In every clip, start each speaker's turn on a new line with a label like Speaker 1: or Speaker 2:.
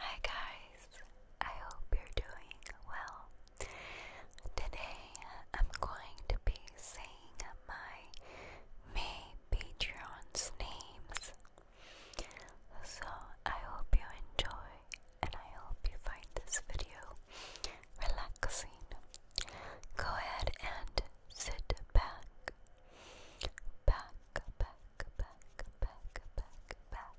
Speaker 1: Hi guys, I hope you're doing well. Today I'm going to be saying my May Patreons names. So I hope you enjoy and I hope you find this video relaxing. Go ahead and sit back. Back, back, back, back, back, back.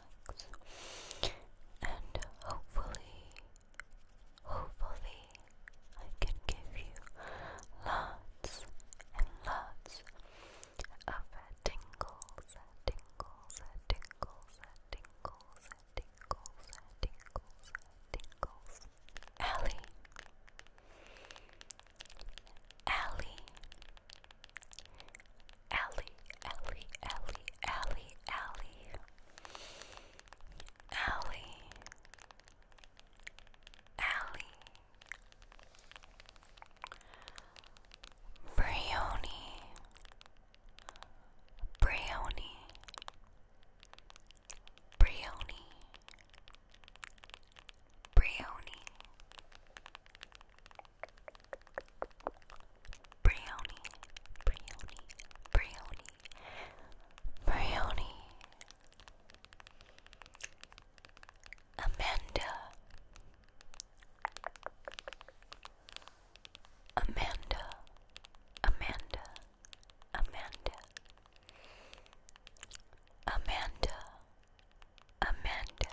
Speaker 1: books. And hopefully, hopefully, I can give you lots and lots of tingles, tingles, tingles, tingles, tingles, tingles, tingles. Ellie. Ellie. Ellie, Ellie, Ellie, Ellie, Ellie, Ellie, Ellie, Brioni, Brioni, Brioni, Brioni, Brownie, brownie, brownie, brownie. Amanda, Amanda, Amanda, Amanda, Amanda, Amanda.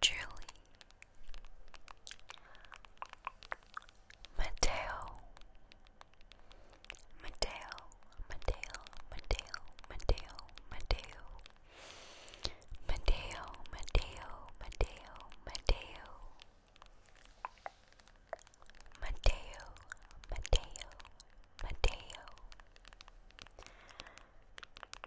Speaker 1: Julie, Mateo, Mateo, Mateo, Mateo, Mateo, Mateo, Mateo, Mateo, Mateo, Mateo, Mateo,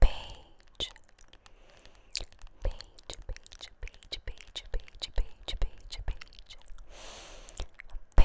Speaker 1: page, page, page, page, page, page, page, page, page, page, page, page, page.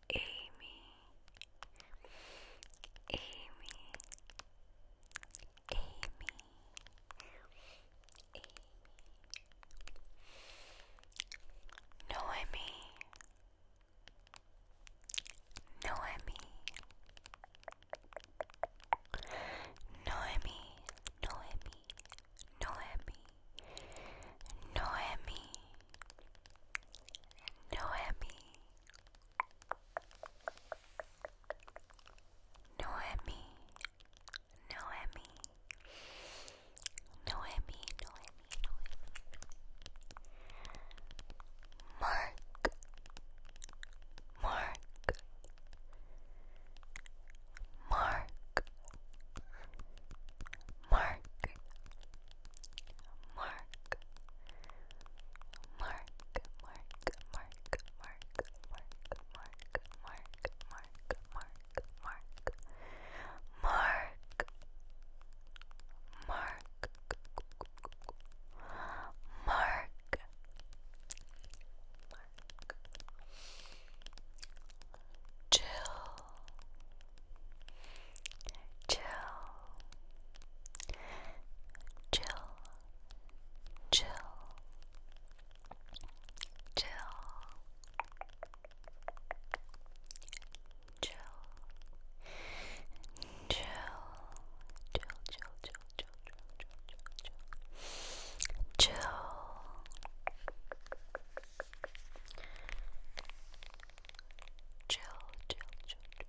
Speaker 1: Amy, Amy, Amy, Amy. Noemi, Noemi, Noemi, Noemi, Noemi, Noemi, Noemi, Noemi, Noemi, Noemi, Noemi, Noemi, Mark, Mark, Mark, Mark, Mark, Mark, Mark, Mark, Mark, Mark, Mark, Mark, Mark, Mark, Mark, Mark, Mark, Mark. Jill, Chill, chill, chill, chill, chill, chill, chill, chill, chill, chill, chill, chill, chill. Chill, chill, chill, chill,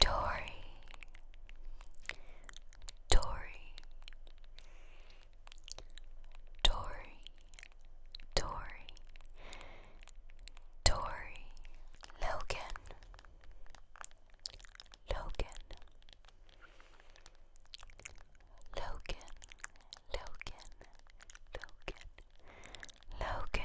Speaker 1: Dory, Dory, Dory, Dory, Dory, Logan, Logan, Logan, Logan, Logan, Logan.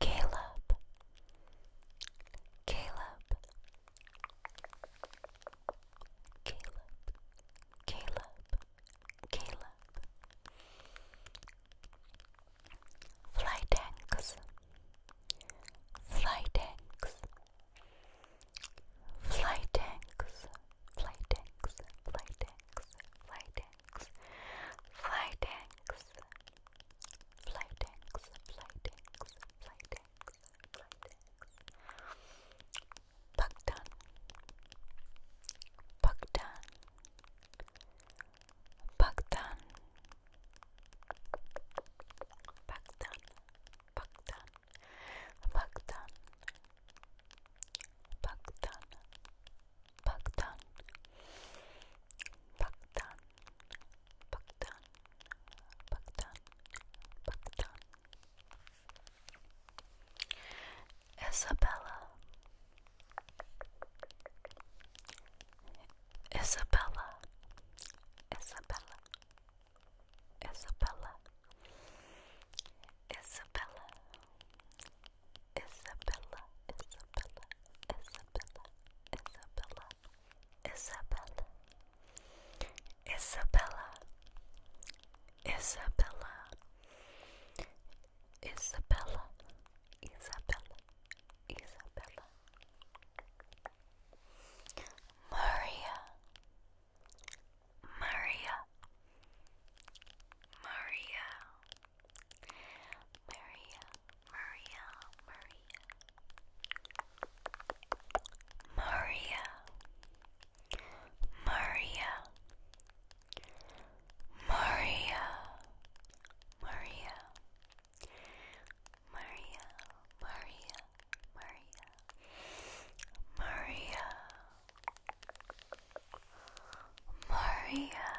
Speaker 1: Caleb, Caleb, Caleb, Caleb, Caleb. Fly tanks, fly tanks, fly tanks, fly tanks, fly tanks, fly tanks, fly tanks, Flytanks, flytanks, flytanks, flytanks. Bugtan, Bugtan, Bugtan, Bugtan, Bugtan, Bugtan, Bugtan, Bugtan, Bugtan. Pakistan, Pakistan, Pakistan. Isabella, Isabella, Isabella, Isabella, Isabella, Isabella, Isabella, Isabella, Isabella. Isabella, Isabella, Isabella, Isabella, Isabella, Isabella, Maria, Maria, Maria. Maria, Maria, Maria, Maria, Maria, Maria, Maria, Maria, Maria, Maria, Maria. Maria,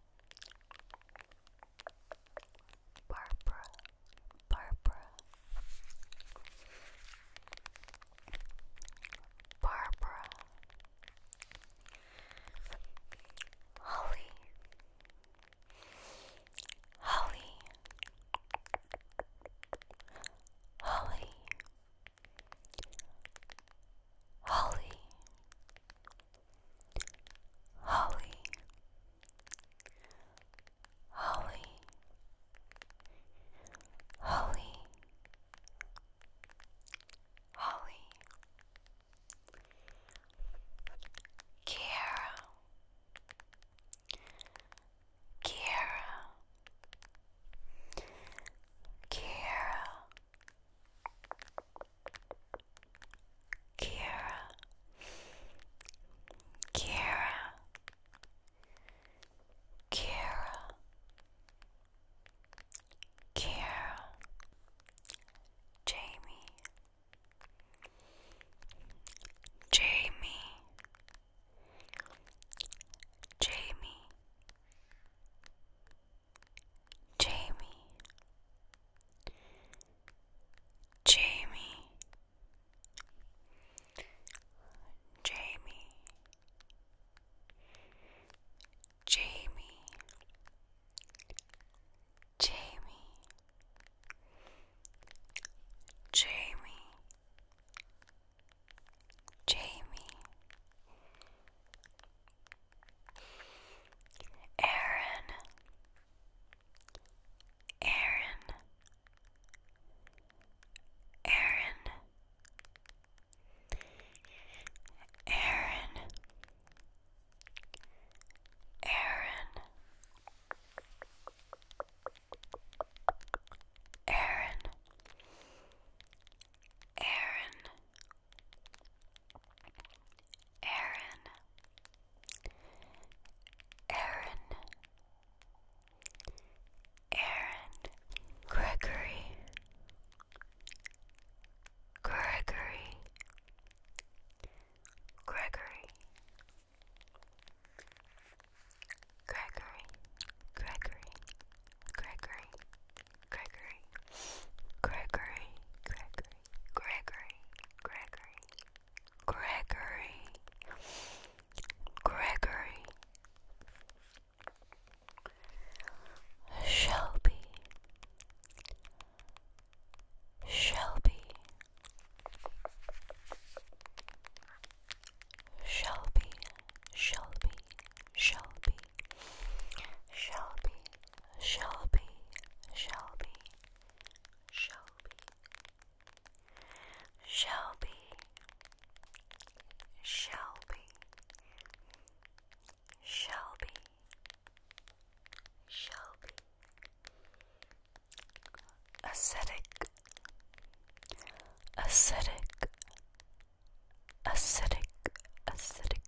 Speaker 1: Barbara, Barbara, Barbara, Holly, Holly, Holly, Holly, Holly, Holly, Holly, Holly, Kiara, Kiara, Kiara. Kira, Kira, Kira, Kira, Jamie, Jamie, Jamie. Jamie, Jamie, Jamie, Jamie, Jamie, Jamie, Jamie. Aaron, Aaron, Aaron, Aaron, Aaron, Aaron, Aaron, Aaron, Aaron, Gregory, Gregory, Gregory, Gregory, Gregory, Gregory. Gregory, Gregory, Gregory, Gregory, Gregory, Gregory, Gregory, Shelby, Shelby, Shelby, Shelby, Shelby. Shelby, Shelby, Shelby, Shelby, Shelby, Shelby, Shelby, Shelby, acidic, acidic, acidic, acidic,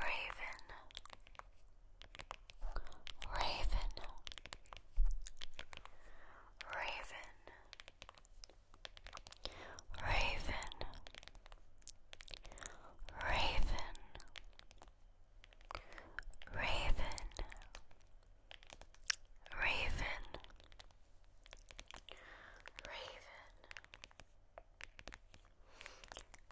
Speaker 1: Raven, Raven, Raven, Raven, Raven, Raven, Raven,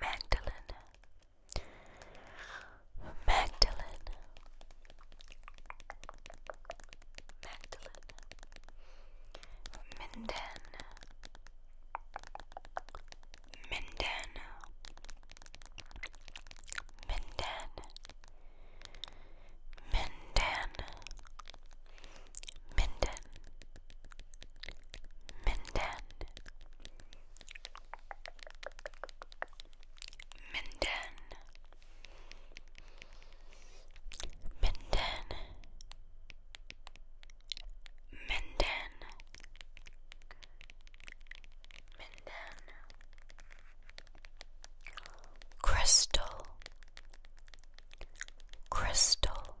Speaker 1: Magdalene, Magdalene, Magdalene, Minden, Minden, Minden, Minden, Minden. Minden Minden Minden Minden Minden Crystal Crystal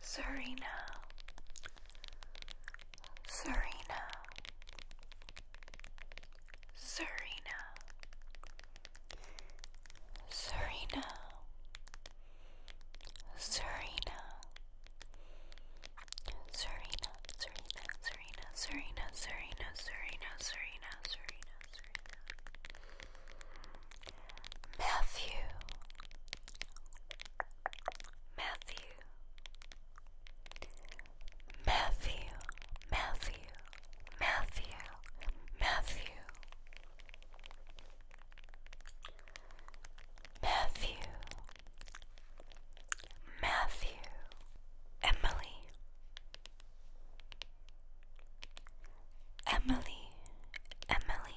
Speaker 1: Serena, Serena, Serena, Serena, Serena, Serena, Serena, Serena, Serena, Serena, Serena, Serena, Serena, Matthew, Matthew, Matthew, Matthew, Matthew, Matthew, Matthew, Emily. Emily, Emily,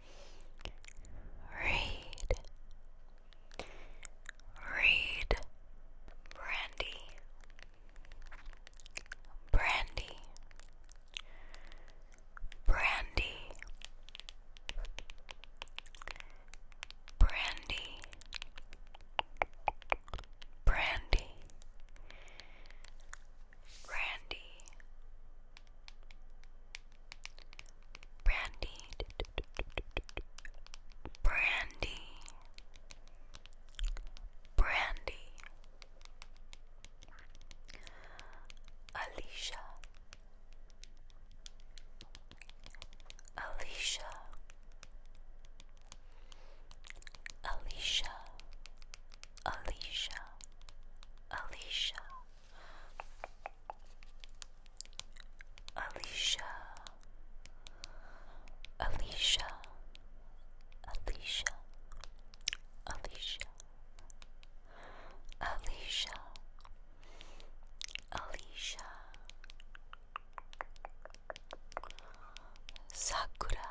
Speaker 1: Read. Read. Brandy. Brandy. Brandy. Brandy. Brandy. Brandy. Brandy, Brandy, Brandy, Alicia, Alicia, Alicia, Alicia, Alicia. Alicia, Alicia, Alicia, Alicia, Alicia, Alicia, Sakura,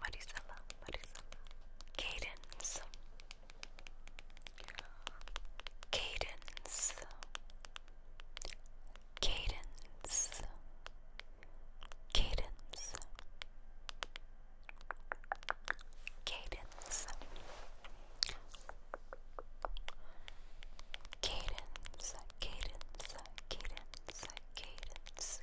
Speaker 1: Marisela, Marisela. Cadence. Cadence. Cadence. Cadence. Cadence. Cadence, cadence, cadence, cadence,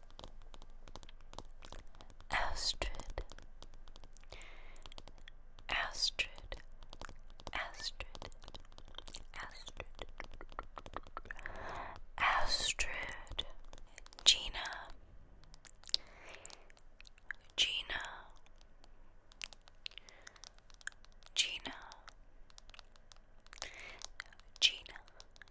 Speaker 1: Astrid, Astrid, Astrid, Astrid, Astrid, Gina, Gina, Gina, Gina,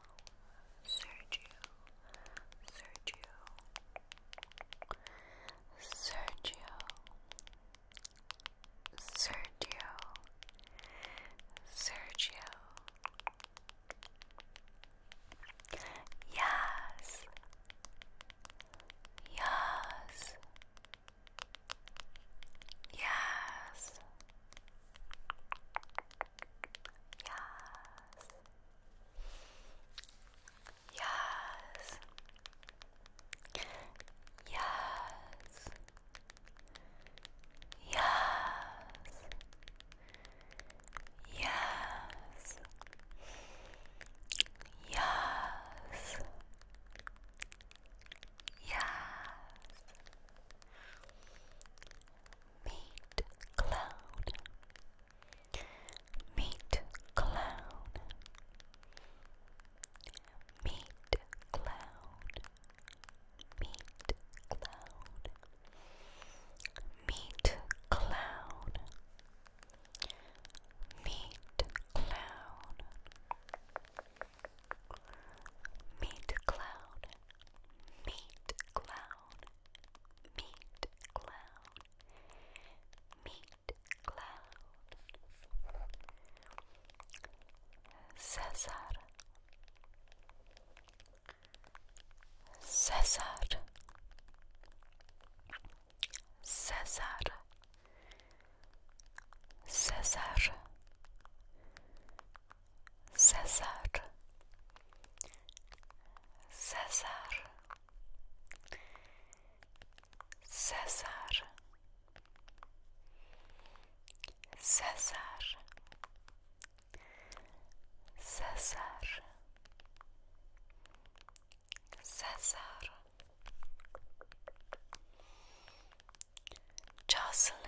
Speaker 1: Sergio, Sergio, Sergio, Sergio, Sergio. Yes, yes, yes. Yes. Yes. Yes. Yes. Yes. Yes. Yes. Meet Cloud. Meet clown. Meat clown. Meat clown. Meat clown. Meat clown. Meat clown. Meat clown. Meat clown. Meat clown. Cesar. Cesar. Cesar. Cesar. Cesar. Sezar Sezar Sezar Sezar Sezar Jocelyn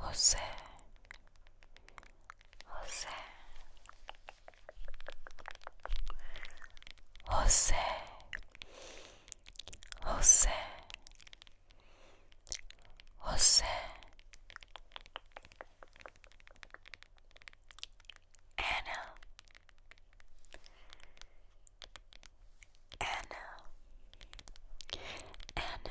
Speaker 1: José, José, José, José, José, Ana, Ana, Ana.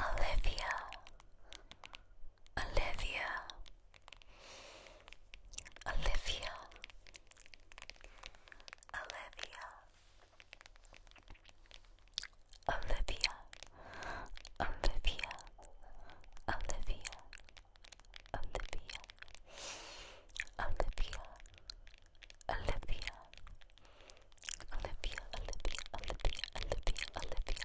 Speaker 1: Olivia, Olivia, Olivia, Olivia, Olivia, Olivia, Olivia, Olivia, Olivia, Olivia. Olivia, Olivia, Olivia, Olivia, Olivia,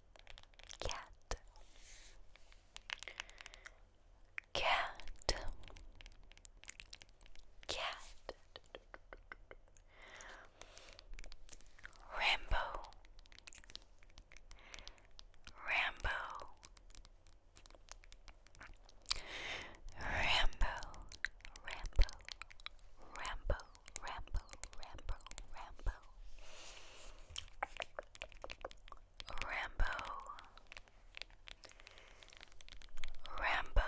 Speaker 1: cat cat cat Rambo Rambo Rambo Rambo Rambo Rambo, Rambo, Rambo. Rambo. Rambo.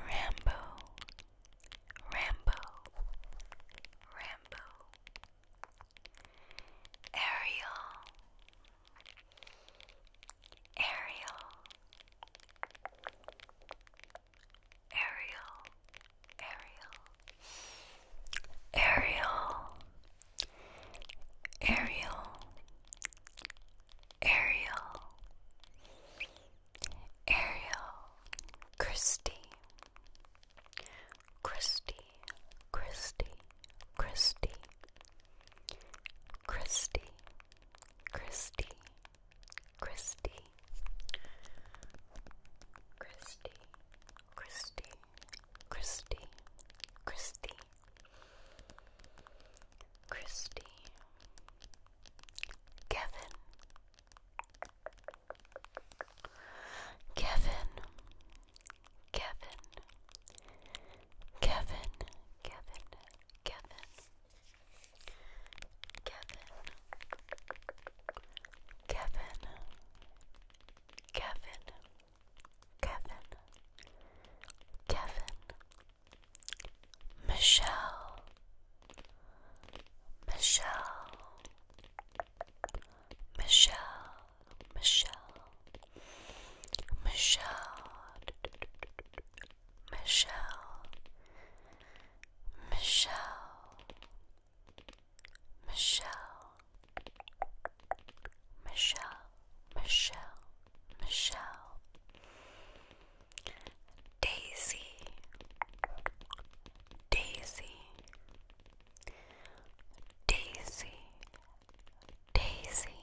Speaker 1: Rambo. Rambo. Rambo. Ariel. Ariel. Ariel, Ariel, Ariel, Ariel, Ariel, Ariel, Christy, Christy, Christy, Christy, Christy, Christy. Christy, Christy, Christy, Christy, Christy, Christy, Kevin, Kevin, Kevin, Kevin, Kevin, Kevin. Kevin, Kevin, Kevin, Kevin, Kevin, Michelle, Michelle, Michelle, Michelle, Michelle. Michelle, Michelle, Michelle, Michelle, Michelle, Michelle, Daisy, Daisy, Daisy, Daisy,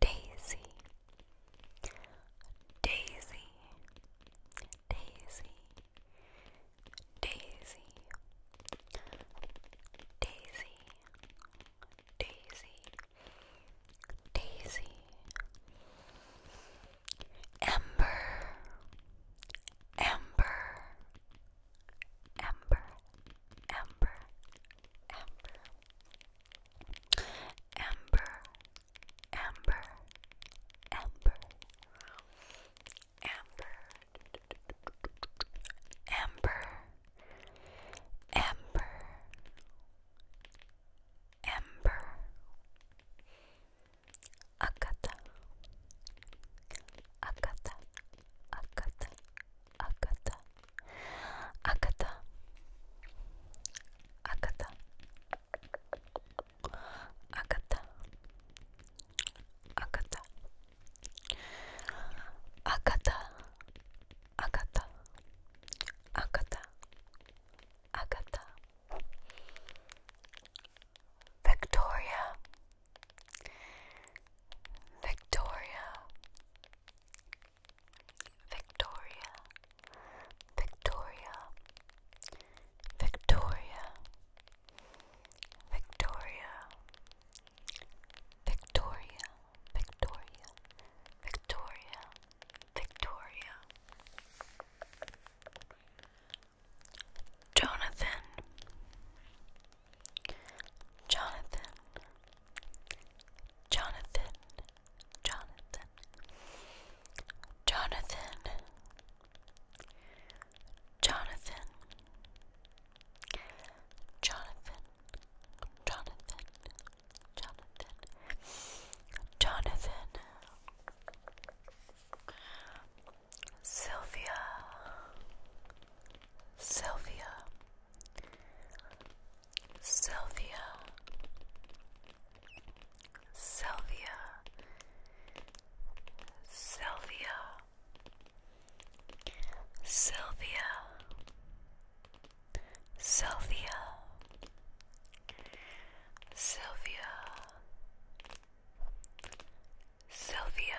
Speaker 1: Daisy. Daisy, Daisy, Daisy, Daisy, Daisy, Daisy, Ember, Ember, Ember, Ember, Ember, Ember. Amber, Amber, Amber, Amber, Amber, Amber, Akata, Akata, Akata, Akata, Akata, Akata, Agatha Agatha Agatha Agatha Agatha Agatha Victoria Victoria Victoria Victoria, Victoria, Victoria, Victoria, Victoria, Victoria, Victoria. Jonathan, Jonathan, Jonathan. Jonathan, Jonathan, Jonathan, Jonathan, Jonathan, Jonathan, Jonathan, Sylvia, Sylvia, Sylvia. Sylvia, Sylvia, Sylvia, Sylvia, Sylvia, Sylvia,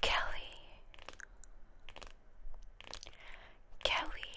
Speaker 1: Kelly, Kelly.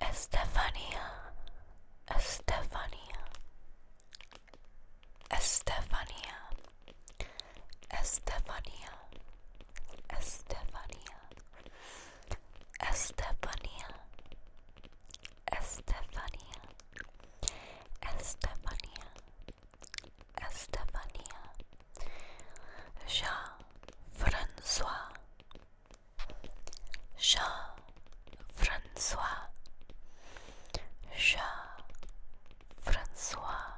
Speaker 1: Estefania, Estefania, Estefania, Estefania, Estefania, Estefania, Estefania, Estefania, Estefania, Jean Francois. Jean Francois Jean Francois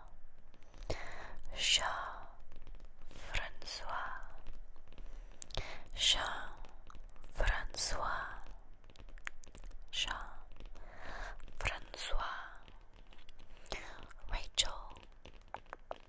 Speaker 1: Jean Francois Jean Francois Jean Francois Rachel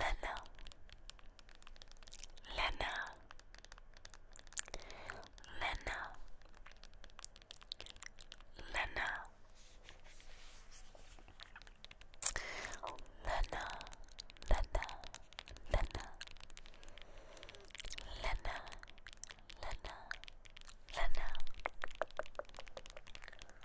Speaker 1: Lena, Lena, Lena, Lena, Lena, Lena, Lena, Lena, Lena, Lena,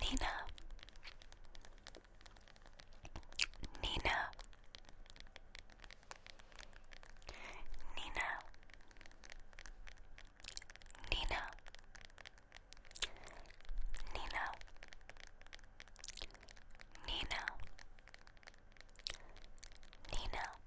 Speaker 1: Nina Nina Nina Nina Nina Nina Nina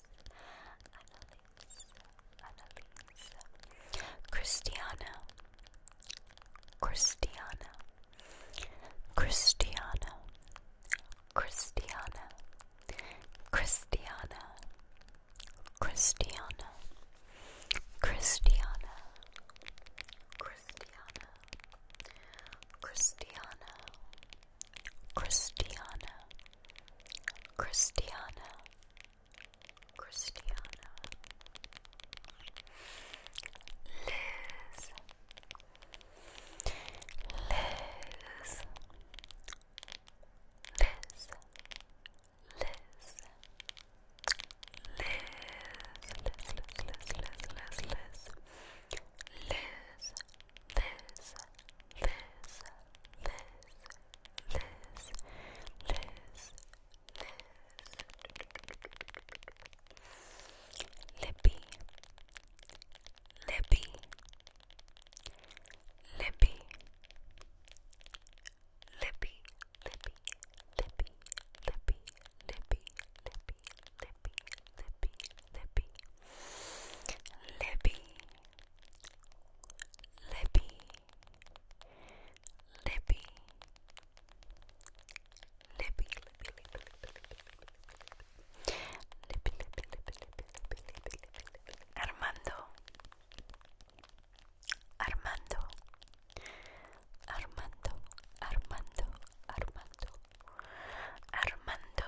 Speaker 1: Annalise, Annalise, Cristiano, Cristiano, Cristiano, Cristiano, Cristiano, Cristiano, Cristiano, Cristiano, Cristiano, Cristiano. Christiana. Christiana. Liz. Liz. Liz. Liz. Liz. Liz. Liz. Liz. Liz. Liz. Liz. Liz this, this, this, this, this, this. Lippy, lippy, lippy, lippy, lippy, lippy, lippy, lippy, lippy, lippy, lippy, lippy. Libby, Libby, Libby, Libby, Libby, Armando, Armando, Armando, Armando, Armando, Armando,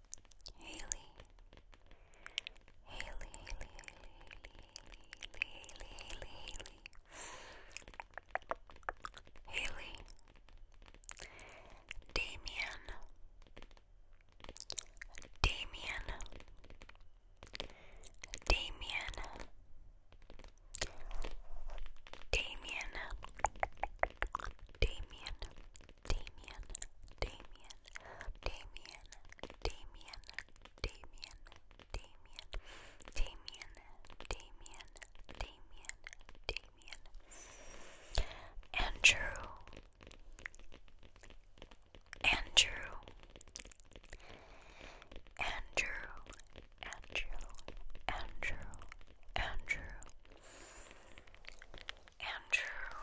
Speaker 1: Haley, Haley, Haley, Haley, Haley, Haley, Haley, Damien, Damien, Damien, Damien, Damien, Damien, Damien, Damien, Damien, Damien, Damien, Damien, Damien, Damien, Damien, Andrew, Andrew, Andrew, Andrew, Andrew, Andrew. Andrew,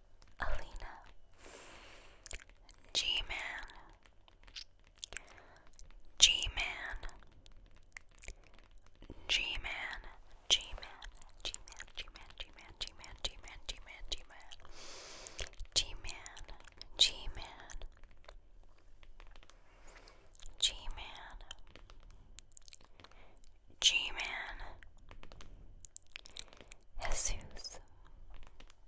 Speaker 1: Alina, G Man, G Man, G Man, G Man, G Man, G Man, G Man, G Man, G Man, G Man, G Man, G Man, G Man, G Man, G Man, Jesus.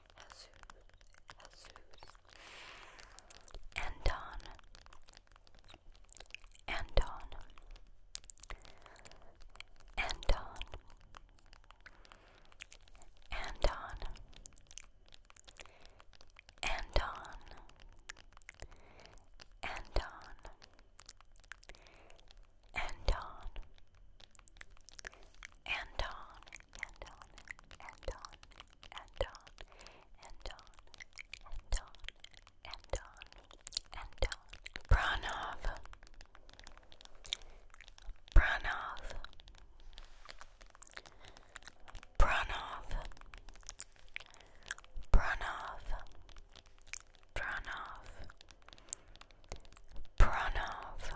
Speaker 1: Jesus, Anton, Anton, Anton, Anton, Anton, Anton, Anton, Anton. Anton, Anton, Anton, Anton, Anton, Anton, Anton, Pranov, Pranov, Pranov, Pranov, Pranov, Pranov,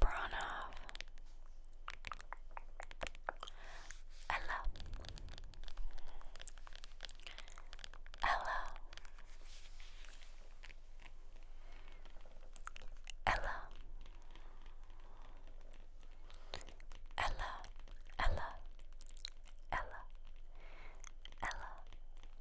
Speaker 1: Pranov, Ella, Ella, Ella, Ella, Ella, Ella, Ella,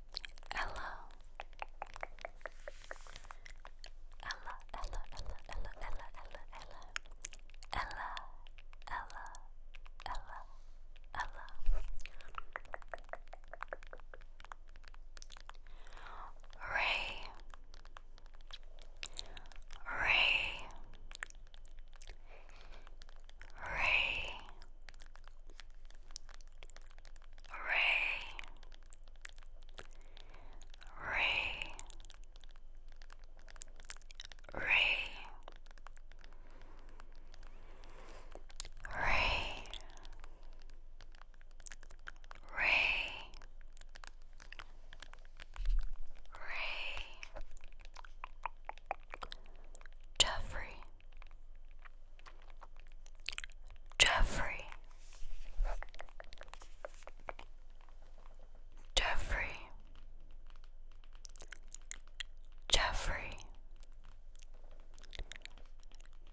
Speaker 1: Ella. Ella, Ella, Ella, Ella, Ella, Ella, Ella. Ella, Ella, Ray. Ray. Ray. Ray, Ray, Ray, Ray, Ray, Jeffrey. Jeffrey Jeffrey Jeffrey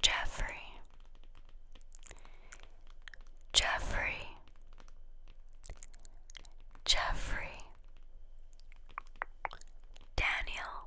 Speaker 1: Jeffrey Jeffrey Daniel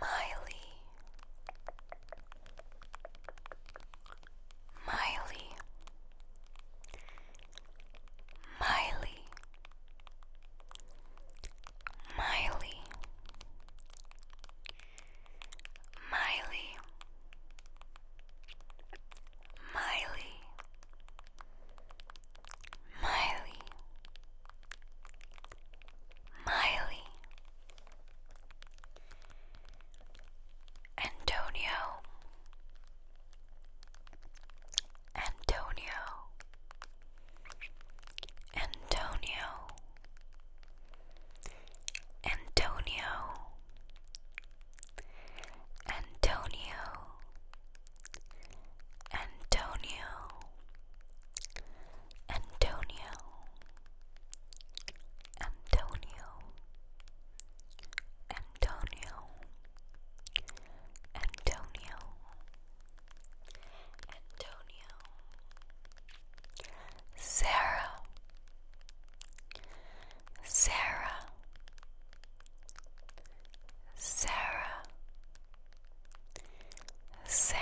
Speaker 1: Miley Miley Miley Miley Miley Miley Miley, Miley, Antonio, Antonio, Antonio, Antonio, Antonio. Antonio Antonio Antonio Antonio Antonio Antonio Sarah Sarah Sarah Sarah,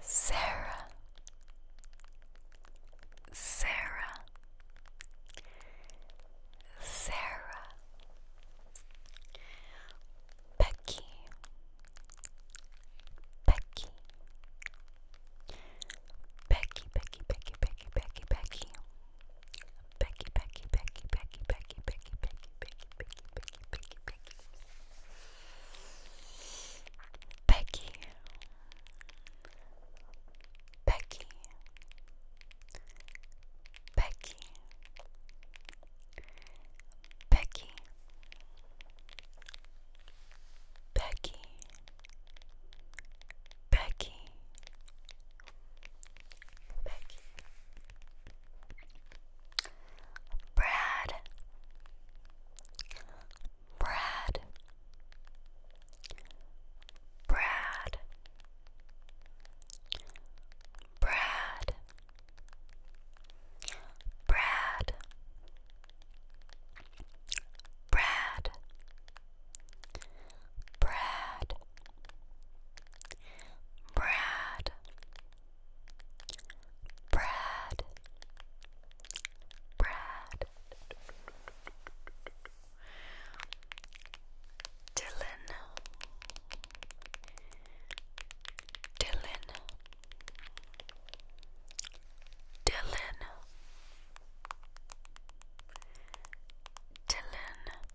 Speaker 1: Sarah, Sarah, Sarah, Becky, Becky, Becky, Becky, Becky, Becky, Becky, Becky, Becky, Becky, Becky, Becky, Becky, Becky, Becky, Becky, Becky, Becky, Becky. Becky. Becky. Becky, Brad, Brad, Brad, Brad, Brad. Brad, Brad, Brad, Brad, Brad, Dylan, Dylan, Dylan, Dylan.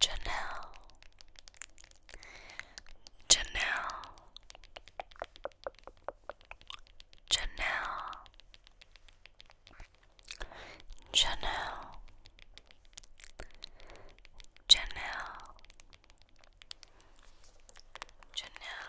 Speaker 1: Janelle Janelle Janelle Janelle Janelle Janelle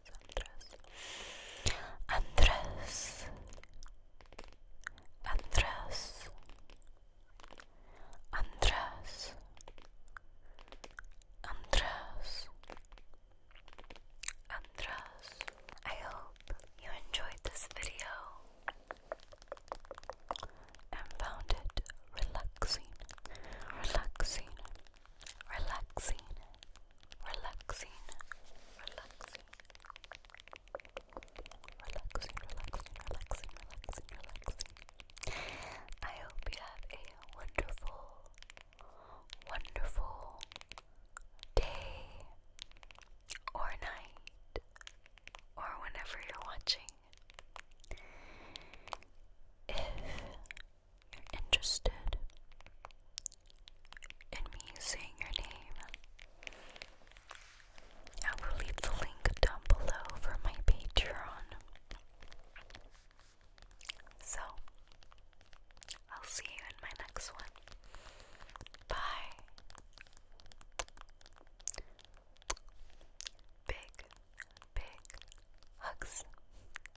Speaker 1: Andrés, Andrés, Andrés, Andrés, Andrés. I hope you enjoyed this video and found it relaxing, relaxing relaxing, relaxing, relaxing, relaxing, relaxing, relaxing, relaxing, relaxing. I hope you have a wonderful, wonderful day or night or whenever you're watching. If you're interested in me saying your name, I will leave the link down below for my Patreon. So, I'll see you in my next one. Bye. Big, big hugs.